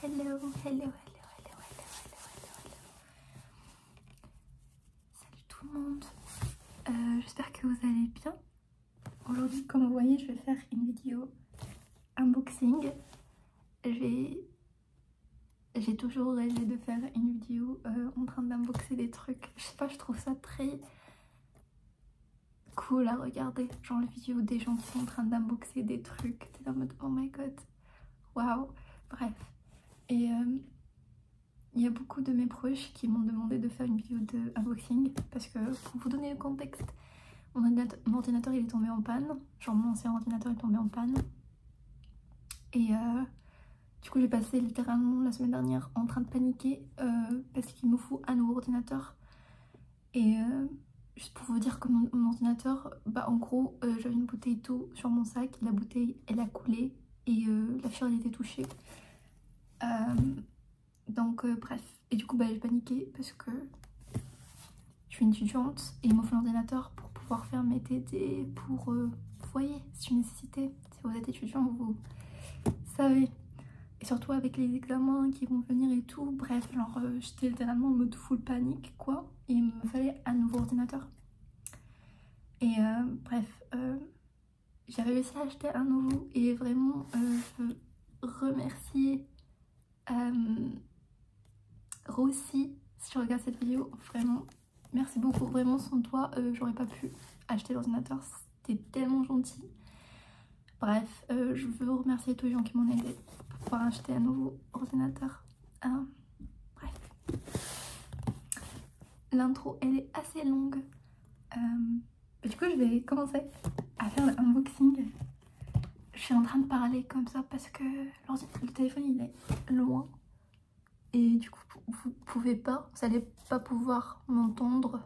Hello, hello, hello, hello, hello, hello, hello. Salut tout le monde. Euh, j'espère que vous allez bien. Aujourd'hui, comme vous voyez, je vais faire une vidéo unboxing. J'ai toujours rêvé de faire une vidéo euh, en train d'unboxer des trucs. Je sais pas, je trouve ça très cool à regarder. Genre les vidéo des gens qui sont en train d'unboxer des trucs mode oh my god, waouh, bref. Et euh, il y a beaucoup de mes proches qui m'ont demandé de faire une vidéo de unboxing parce que pour vous donner le contexte, mon ordinateur, il est tombé en panne, genre mon ancien ordinateur est tombé en panne. Et euh, du coup j'ai passé littéralement la semaine dernière en train de paniquer euh, parce qu'il me faut un nouveau ordinateur et euh, juste pour vous dire que mon, ordinateur, bah en gros, euh, j'avais une bouteille d'eau sur mon sac, la bouteille elle a coulé et euh, la fièvre elle était touchée. donc bref, et du coup bah j'ai paniqué parce que je suis une étudiante et il un ordinateur pour pouvoir faire mes TD, pour, vous voyez, c'est une nécessité, si vous êtes étudiant vous savez. Et surtout avec les examens qui vont venir et tout, bref, genre j'étais littéralement en mode full panique quoi et il me fallait un nouveau ordinateur et euh, bref euh, j'ai réussi à acheter un nouveau et vraiment euh, je veux remercier Rossi si tu regardes cette vidéo vraiment merci beaucoup vraiment sans toi j'aurais pas pu acheter l'ordinateur c'était tellement gentil Bref, euh, je veux remercier tous les gens qui m'ont aidé pour pouvoir acheter un nouveau ordinateur. Euh, bref. L'intro, elle est assez longue. Euh, du coup, je vais commencer à faire unboxing. Je suis en train de parler comme ça parce que le téléphone, il est loin. Et du coup, vous pouvez pas, vous n'allez pas pouvoir m'entendre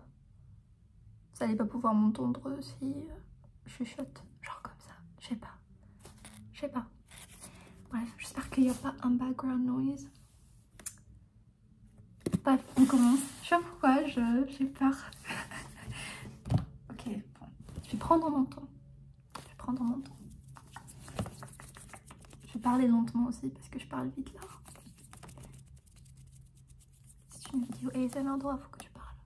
vous allez pas pouvoir m'entendre si euh, je chuchote. Genre comme ça. Je sais pas. Je sais pas. Bref, j'espère qu'il n'y a pas un background noise. Bref, on commence. Je sais pas pourquoi, j'ai peur. ok, bon. Je vais prendre mon temps. Je vais prendre mon temps. Je vais parler lentement aussi parce que je parle vite là. C'est une vidéo et c'est un endroit, faut que tu parles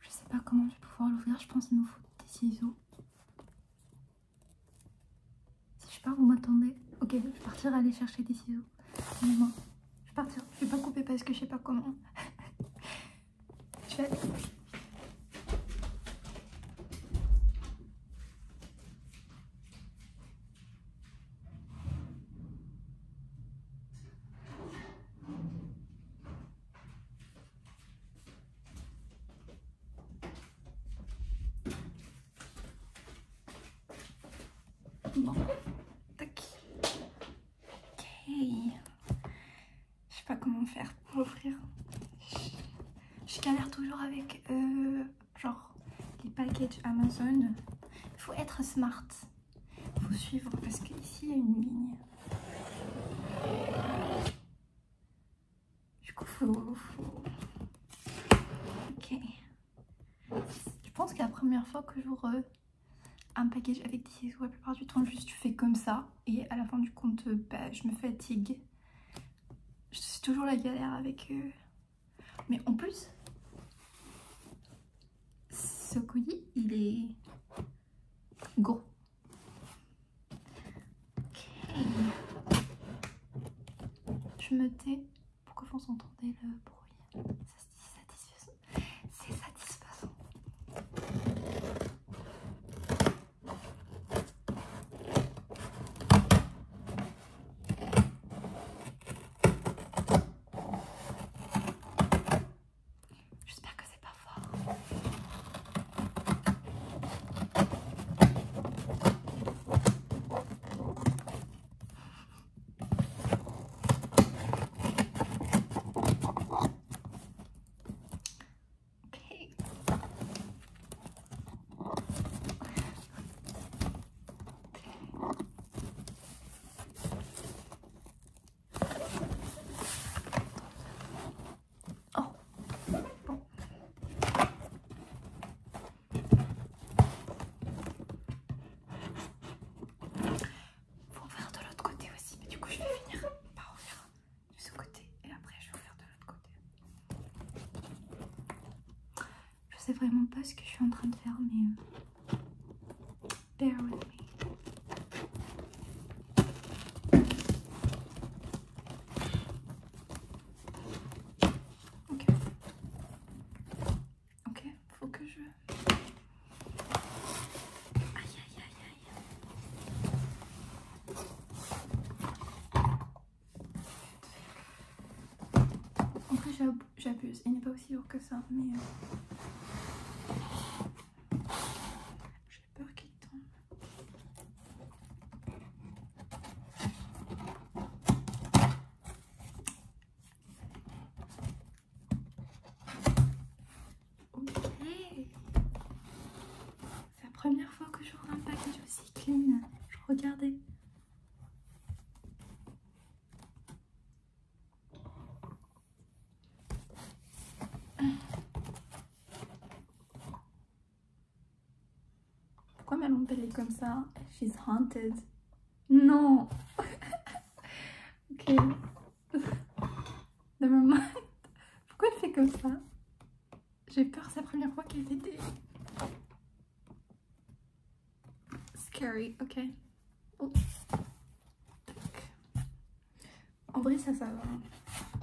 Je sais pas comment je vais pouvoir l'ouvrir, je pense qu'il nous faut des ciseaux. Si Je pars, vous m'attendez. Ok, je vais partir aller chercher des ciseaux. je vais partir, je vais pas couper parce que je sais pas comment. je vais Bon, tac. Ok. Je sais pas comment faire pour l'ouvrir. Je galère toujours avec euh, genre les packages Amazon. Il faut être smart. Il faut suivre parce qu'ici il y a une ligne. Du coup, faut. Ok. Je pense que la première fois que j'ouvre euh, un package avec des ciseaux, la plupart du temps, juste tu fais comme ça. Et à la fin du compte, euh, bah, je me fatigue. C'est toujours la galère avec. eux. Mais en plus, ce couillis, il est gros. Je me tais pourquoi vous entendez le bruit. C'est satisfaisant. C'est satisfaisant. J'espère que c'est pas fort. Oh bon. ouvrir de l'autre côté aussi, mais du coup je vais finir par ouvrir de ce côté et après je vais ouvrir de l'autre côté. Je sais vraiment pas ce que je suis en train de faire, mais euh, Bear with me. Ok. Ok, faut que je... Aïe, aïe, aïe, aïe. En plus, j'abuse. Il n'est pas aussi que ça, mais euh, j'ai peur qu'il tombe. Ok, c'est la première fois que je un package aussi clean. Je regardais. Pourquoi ma lampe elle est comme ça She's haunted. Non Ok. Never mind. Pourquoi elle fait comme ça J'ai peur, c'est la première fois qu'elle fait des... Scary, ok. En vrai, ça, ça va.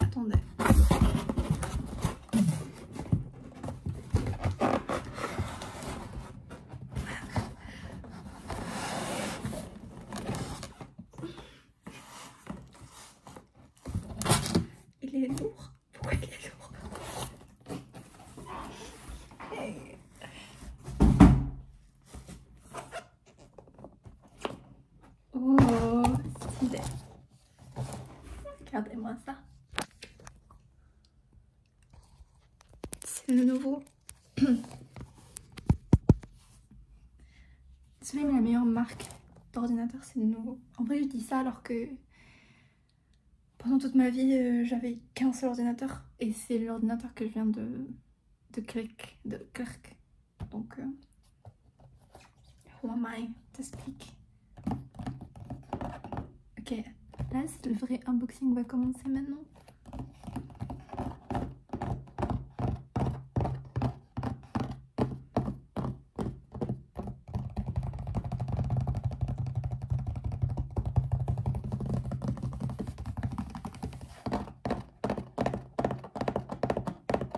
Attendez. Il est lourd. Pourquoi il est lourd eh. Oh, stylé. Regardez-moi ça. C'est le nouveau. C'est même la meilleure marque d'ordinateur, c'est le nouveau. En vrai, je dis ça alors que pendant toute ma vie, euh, j'avais qu'un seul ordinateur. Et c'est l'ordinateur que je viens de... de Kirk. de Kirk donc, who euh, Ok, là le vrai unboxing va commencer maintenant.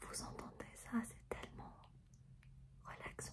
Vous entendez ça, c'est tellement relaxant.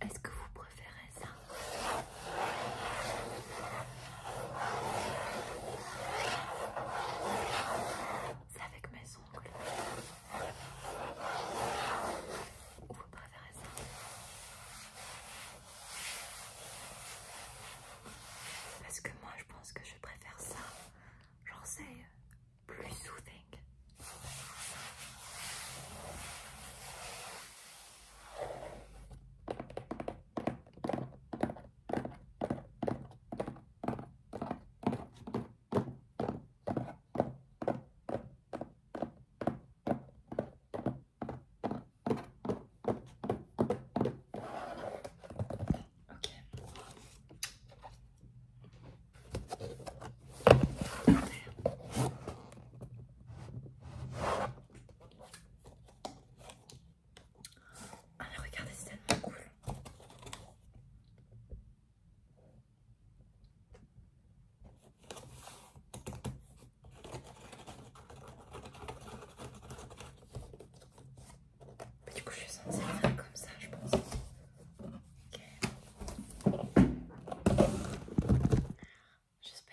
Est-ce que vous préférez ça c'est avec mes ongles. vous préférez ça Parce que moi je pense que je préfère ça. J'en sais plus soothing. Ok. Ah mais regardez, c'est tellement cool du coup, je suis censée comme ça, je pense. J'espère.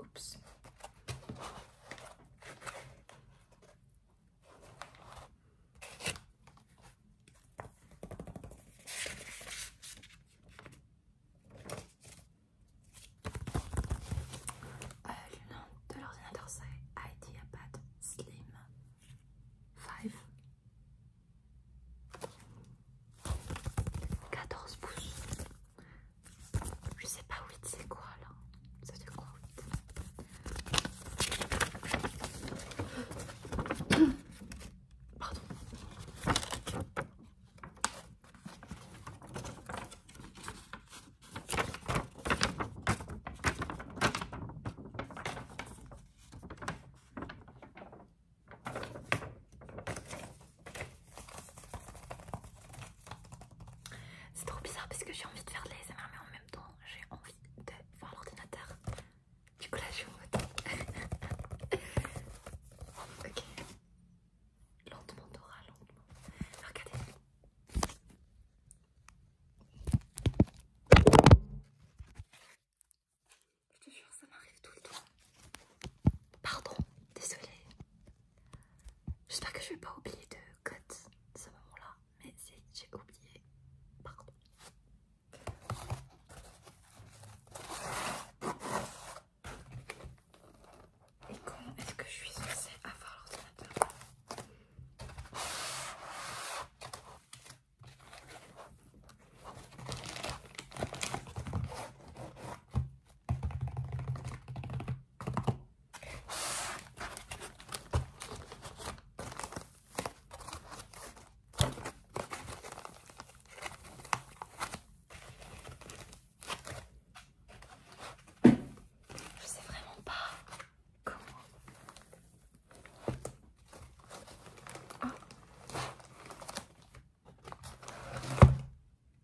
Oups. Euh, le nom de l'ordinateur c'est IdeaPad Slim 5 14 pouces je sais pas où où c'est quoi là Ça te quoi Pardon c'est trop bizarre parce que j'ai envie de faire de l'ASMR mais en même temps j'ai envie de voir l'ordinateur. Du coup là je suis en Ok. Lentement Dora, lentement. Regardez. Je te jure ça m'arrive tout le temps. Pardon, désolée. J'espère que je vais pas oublier de cote ce moment-là, mais si j'ai oublié, pardon. Et comment est-ce que je suis censée avoir l'ordinateur je sais vraiment pas comment. Ah.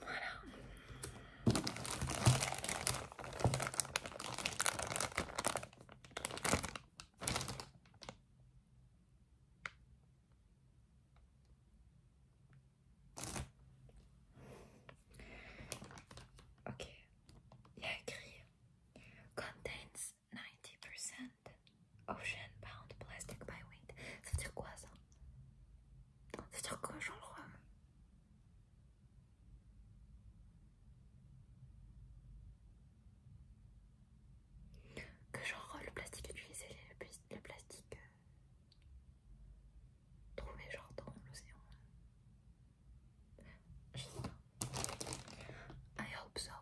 Voilà. Ok, il a écrit Contains 90% ocean-bound plastic by weight. C'est veut dire quoi ça Ça veut dire genre que genre le plastique utilisé, le, le plastique euh, trouvé genre dans l'océan je sais pas. I hope so.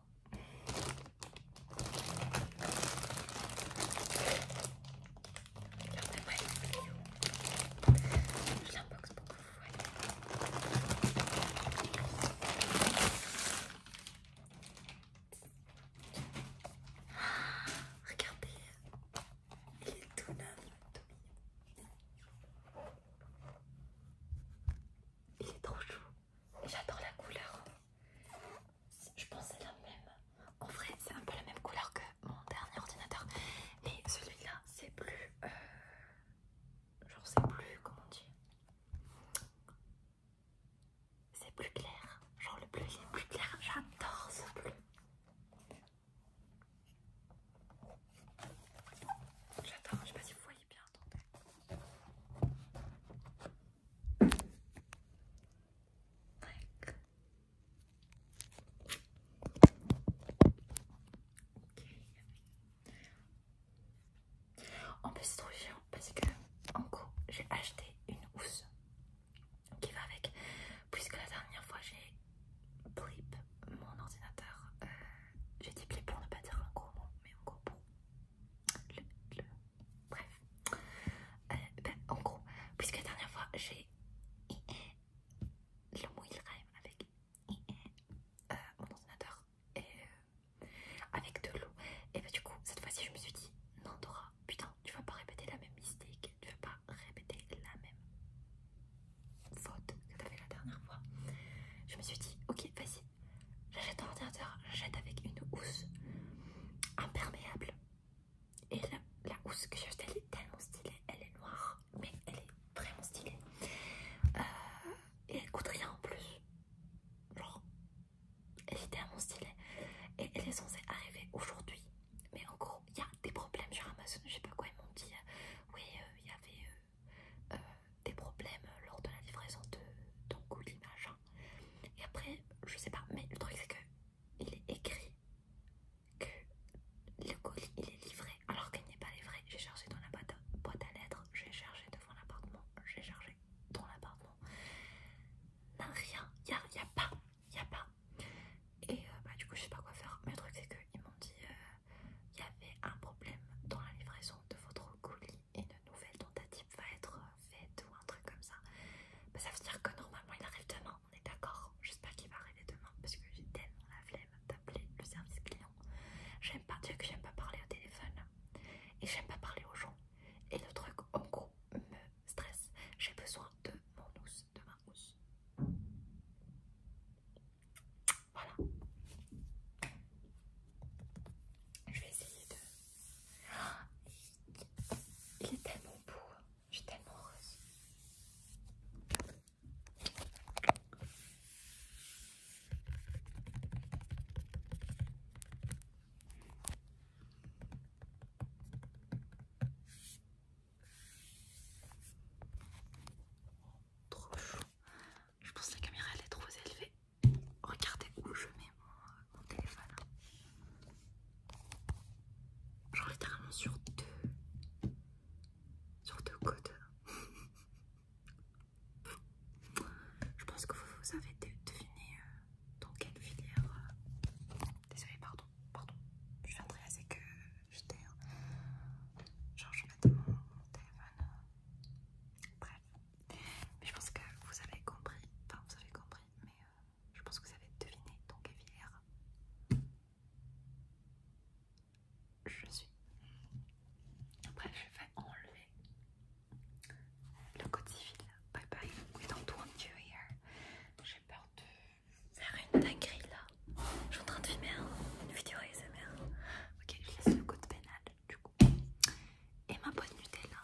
Regardez-moi vidéo. pour que vous regardez, il est tout neuf, tout il est trop chou. J'adore la couleur. Je pense c'est la même. En vrai, c'est un peu la même couleur que mon dernier ordinateur. Mais celui-là, c'est plus. Euh, genre, c'est plus. Comment dire C'est plus clair. Genre, le bleu, il est plus clair. J'adore ce bleu. J'adore, je sais pas si vous voyez bien, attendez. Ok. En plus c'est trop chiant parce que en gros j'ai acheté une housse qui va avec puisque la dernière fois j'ai trip mon ordinateur. Euh, j'ai dit pour ne pas dire un gros mot, mais en gros pour le, bref. Euh, ben, en gros, puisque la dernière fois j'ai e, le mot il rêve avec e, euh, mon ordinateur et avec de l'eau. Et ben du coup, cette fois-ci, je me suis dit non, Dora, putain, tu vas pas répéter la même mystique, tu vas pas répéter la même faute que t'as fait la dernière fois, je me suis dit ok vas-y, j'achète un ordinateur, j'achète avec une housse imperméable et la, la housse que j'ai achetée elle est tellement stylée, elle est noire mais elle est vraiment stylée euh, et elle coûte rien en plus, genre elle est tellement stylée et elle est censée arriver aujourd'hui mais en gros il y a des problèmes sur Amazon, je sais pas quoi ils m'ont dit, euh, oui euh, il y avait euh, des problèmes lors de la livraison de ton colis machin. Et après, je sais pas, mais le truc c'est que il est écrit que le colis il est livré alors qu'il n'est pas livré. J'ai cherché dans la boîte, à lettres, j'ai cherché devant l'appartement, j'ai cherché dans l'appartement. Rien, il a, pas, il a pas. Et euh, bah, du coup, je sais pas quoi faire. Mais le truc c'est que ils m'ont dit euh, il y avait un problème dans la livraison de votre colis et une nouvelle tentative va être euh, faite ou un truc comme ça. Bah, ça veut dire que normalement il arrive demain, on est d'accord. J'espère qu'il va arriver demain parce que j'ai tellement la flemme d'appeler le service client. J'aime pas dire que j'aime pas parler au téléphone et j'aime pas parler aux gens. Et le truc en gros me stresse. J'ai besoin de mon housse, de ma housse. Voilà. Je vais essayer de... Il est tellement beau. Hein. Je suis tellement heureuse trop chaud. Je pense que la caméra elle est trop élevée. Regardez où je mets mon, téléphone. Genre littéralement sur deux. Sur deux côtes. Je pense que vous, vous avez deviné euh, dans quelle filière. Euh, désolée, pardon, pardon. Je viendrai assez que Hein. Genre, je vais mettre mon téléphone. Euh, bref. Mais je pense que vous avez compris. Enfin, vous avez compris, mais euh, je pense que vous avez deviné. Donc, hier, je suis. Bref, je vais enlever le code civil. Bye bye. We don't want you here. J'ai peur de faire une dinguerie là. Je suis en train de filmer hein. une vidéo ASMR. Ok, je laisse le code pénal du coup. Et ma boîte Nutella.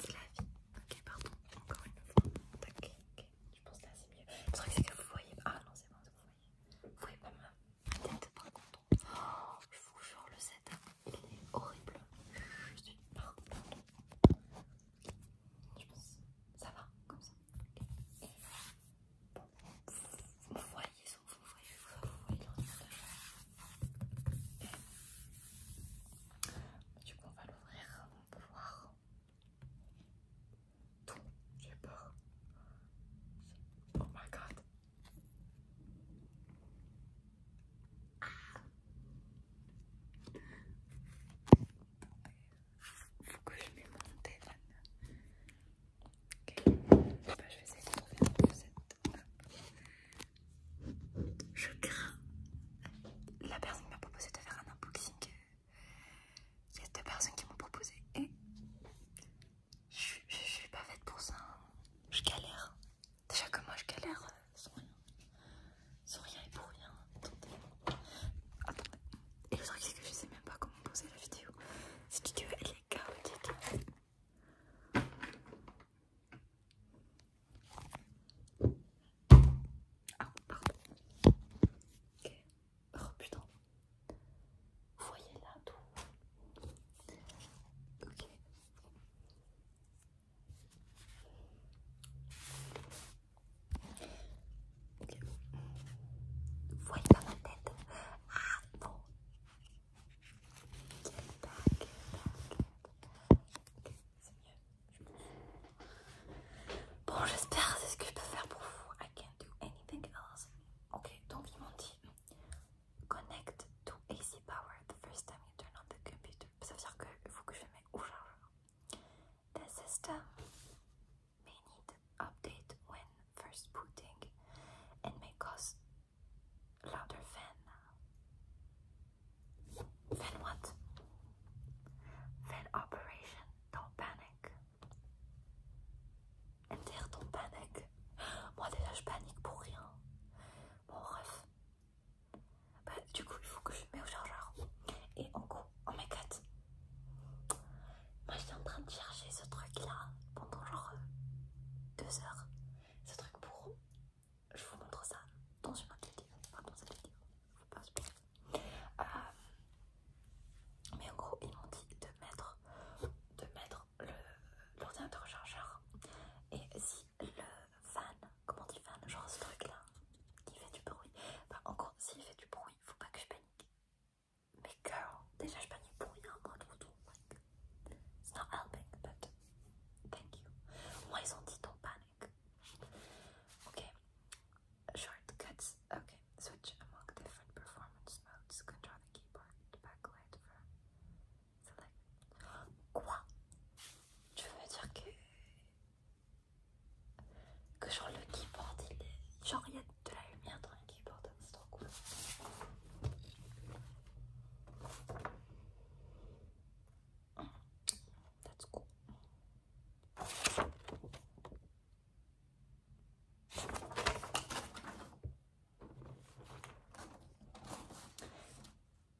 C'est la vie. Ok, pardon, encore une fois. Ok, ok, je pense que là c'est mieux. vrai que c'est que vous voyez. Ah non, c'est bon, vous voyez. Vous voyez pas ma tête par contre. je vous jure, le set hein. il est horrible. Je suis. Pardon, Je pense. que Ça va, comme ça. ok vous voyez son vous voyez, vous voyez l'ordinateur. Du coup, on va l'ouvrir, on peut voir tout. J'ai peur. Oh my god. Ah faut que je mette mon télan. Ok, je vais essayer de un Je crains. La personne m'a proposé de faire un unboxing. Il y a deux personnes qui m'ont proposé et je, suis pas faite pour ça. Hein. Je galère. Déjà que moi je galère euh, sans rien. Sans rien et pour rien. Attendez, Et le truc c'est que je sais même pas comment poser la vidéo. Si tu veux, elle est chaotique. Ah, pardon. Ok. Oh putain. Vous voyez là tout. Ok. Vous voyez pas ma tête Ah bon Ok, c'est mieux, Bon, j'espère c'est ce que je peux faire pour vous. I can't do anything else. Ok, donc ils m'ont dit Connect to AC power the first time you turn on the computer. Ça veut dire qu'il faut que je le mette au chargeur. The system may need update when first booting and may cause louder fan. Fan what? Fan operation. Don't panic. En dire ton panic. Moi déjà je panique pour rien. Bon bref. du coup il faut que je mette au chargeur. Et en gros Oh my god. Moi j'étais en train de chercher ce truc là pendant genre euh, deux heures. Ce truc pour... Je vous montre ça dans une autre vidéo. dans cette vidéo. Je euh, mais en gros ils m'ont dit de mettre, de mettre l'ordinateur chargeur. Et si le fan, comment dit fan, genre ce truc là, qui fait du bruit. en gros s'il fait du bruit, faut pas que je panique. Big girl, they just been you pulling out it's not helping, but thank you. Why don't you don't Okay, short Okay, switch among different performance modes. Control the keyboard, backlight for select. Quoi? Je veux dire que que genre le keyboard il est genre il y a de la lumière dans le keyboard c'est trop cool.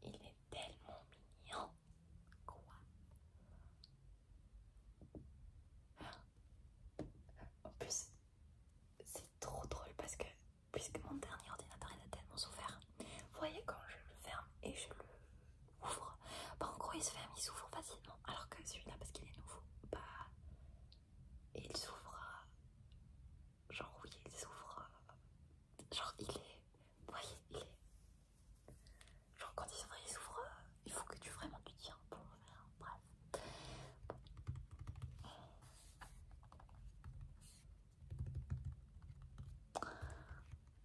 Il est tellement mignon. Quoi en plus, c'est trop drôle parce que, puisque mon dernier ordinateur il a tellement souffert, vous voyez quand je le ferme et je le ouvre, bah en gros il se ferme, il s'ouvre facilement, alors que celui-là parce qu'il est nouveau, bah il s'ouvre, genre oui il s'ouvre, genre il est, vous voyez il est, Genre quand ils ouvrent, ils ouvrent, euh, il faut que tu vraiment tu tiens pour bref.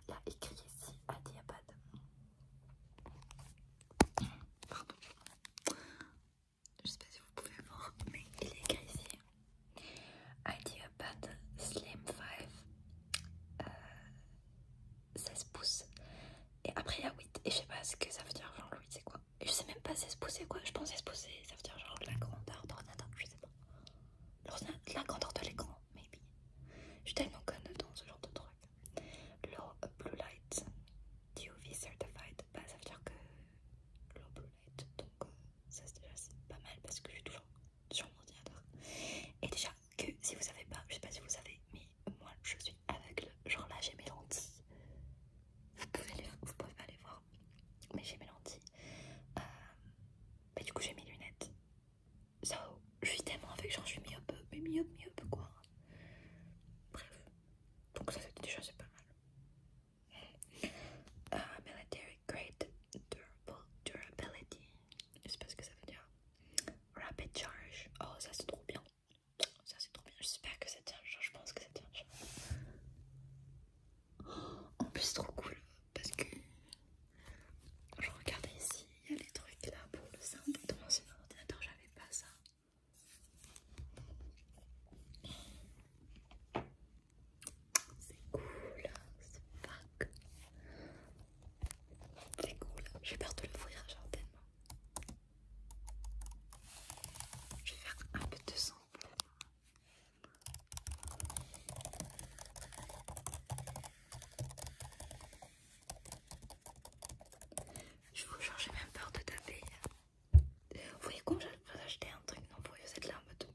Il y a écrit ici Ideapad. Pardon. Je sais pas si vous pouvez voir, mais il est écrit ici Ideapad Slim 5 euh, 16 pouces. Et après, il y a 8. Et je sais pas ce que ça veut dire, genre, 8, c'est quoi Je sais même pas 16 pouces, c'est quoi Je pense 16 pouces, ça veut dire genre la grandeur d'ordinateur, je sais pas. La grandeur de l'écran, maybe. Je suis tellement conne dans ce genre de truc. Low Blue Light DOV Certified, bah ça veut dire que Low Blue Light, donc euh, ça c'est déjà pas mal parce que je suis toujours sur mon ordinateur. Et déjà que si vous savez pas, je sais pas si vous savez, mais moi je suis aveugle, genre là j'ai mes lentilles, vous pouvez, que vous pouvez pas les voir, mais j'ai mes lentilles, euh, mais du coup j'ai mes lunettes, so, je suis tellement aveugle, genre je suis myope, mais myope, myope quoi, bref, donc ça c'était déjà c'est pas mal. Euh, military grade durable durability, je sais pas ce que ça veut dire. Rapid charge, oh ça c'est trop bien. Ça c'est trop bien, j'espère que ça tient je pense que ça tient En plus c'est trop cool parce que je regardais ici, il y a les trucs là pour le simple dans mon ordinateur, j'avais pas ça. C'est cool, c'est cool C'est cool, j'ai peur de fouiller genre tellement. Je vais faire un peu de sang. Je vous jure, j'ai même peur de taper. Vous voyez comment j'ai acheter un truc, non, vous voyez cette en mode.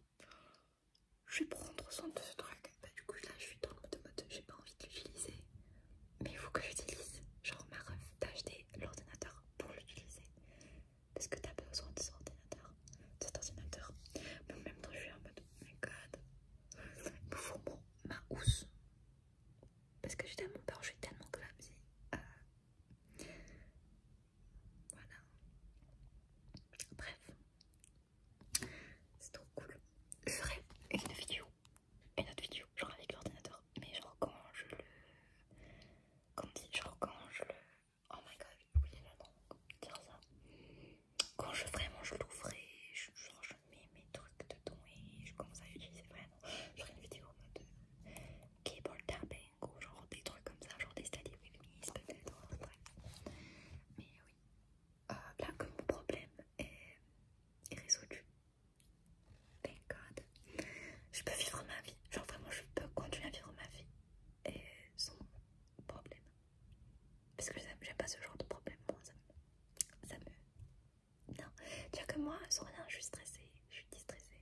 Je vais prendre soin de ce truc. Bah, du coup, là, je suis dans le mode j'ai pas envie de l'utiliser mais il faut que j'utilise. Genre, ma ref, d'acheter l'ordinateur pour l'utiliser parce que t'as besoin de cet ordinateur. De cet ordinateur, mais en même temps, je suis en mode oh my god, il faut mon ma housse parce que j'ai tellement peur, je suis tellement clumsy. Euh, voilà, bref, c'est trop cool. Je ferai une vidéo une autre vidéo, genre avec l'ordinateur, mais genre quand je le. quand dit, genre quand je le. Oh my god, j'ai oublié dire ça. Quand je vraiment je l'ouvrais, genre je mets mes trucs dedans et je commence à utiliser vraiment. Genre une vidéo en mode euh, cable keyboard tapping ou genre des trucs comme ça, genre des studies c'est peut-être, Mais oui. Euh, là, que mon problème est résolu, Thank God. Je peux vivre ma vie. Genre vraiment, je peux continuer à vivre ma vie. Et sans problème. Parce que j'aime pas ce genre de problème. Moi, ça me... Ça me... Non. Tu vois que moi, sans rien, je suis stressée. Je suis distressée.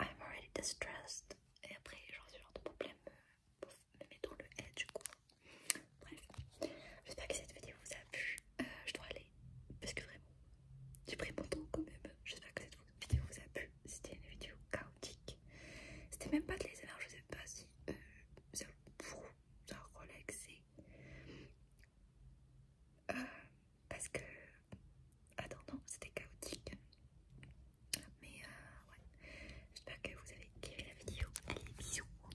I'm already distressed. Et après, genre ce genre de problème me, dans le head du coup. Bref, j'espère que cette vidéo vous a plu. Euh, je dois aller parce que vraiment, j'ai pris mon temps quand même. J'espère que cette vidéo vous a plu. C'était une vidéo chaotique. C'était même pas de les alors je sais pas si euh, ça vous euh, parce que, attends, non, c'était chaotique. Mais ouais, j'espère que vous avez kiffé la vidéo. Allez, bisous.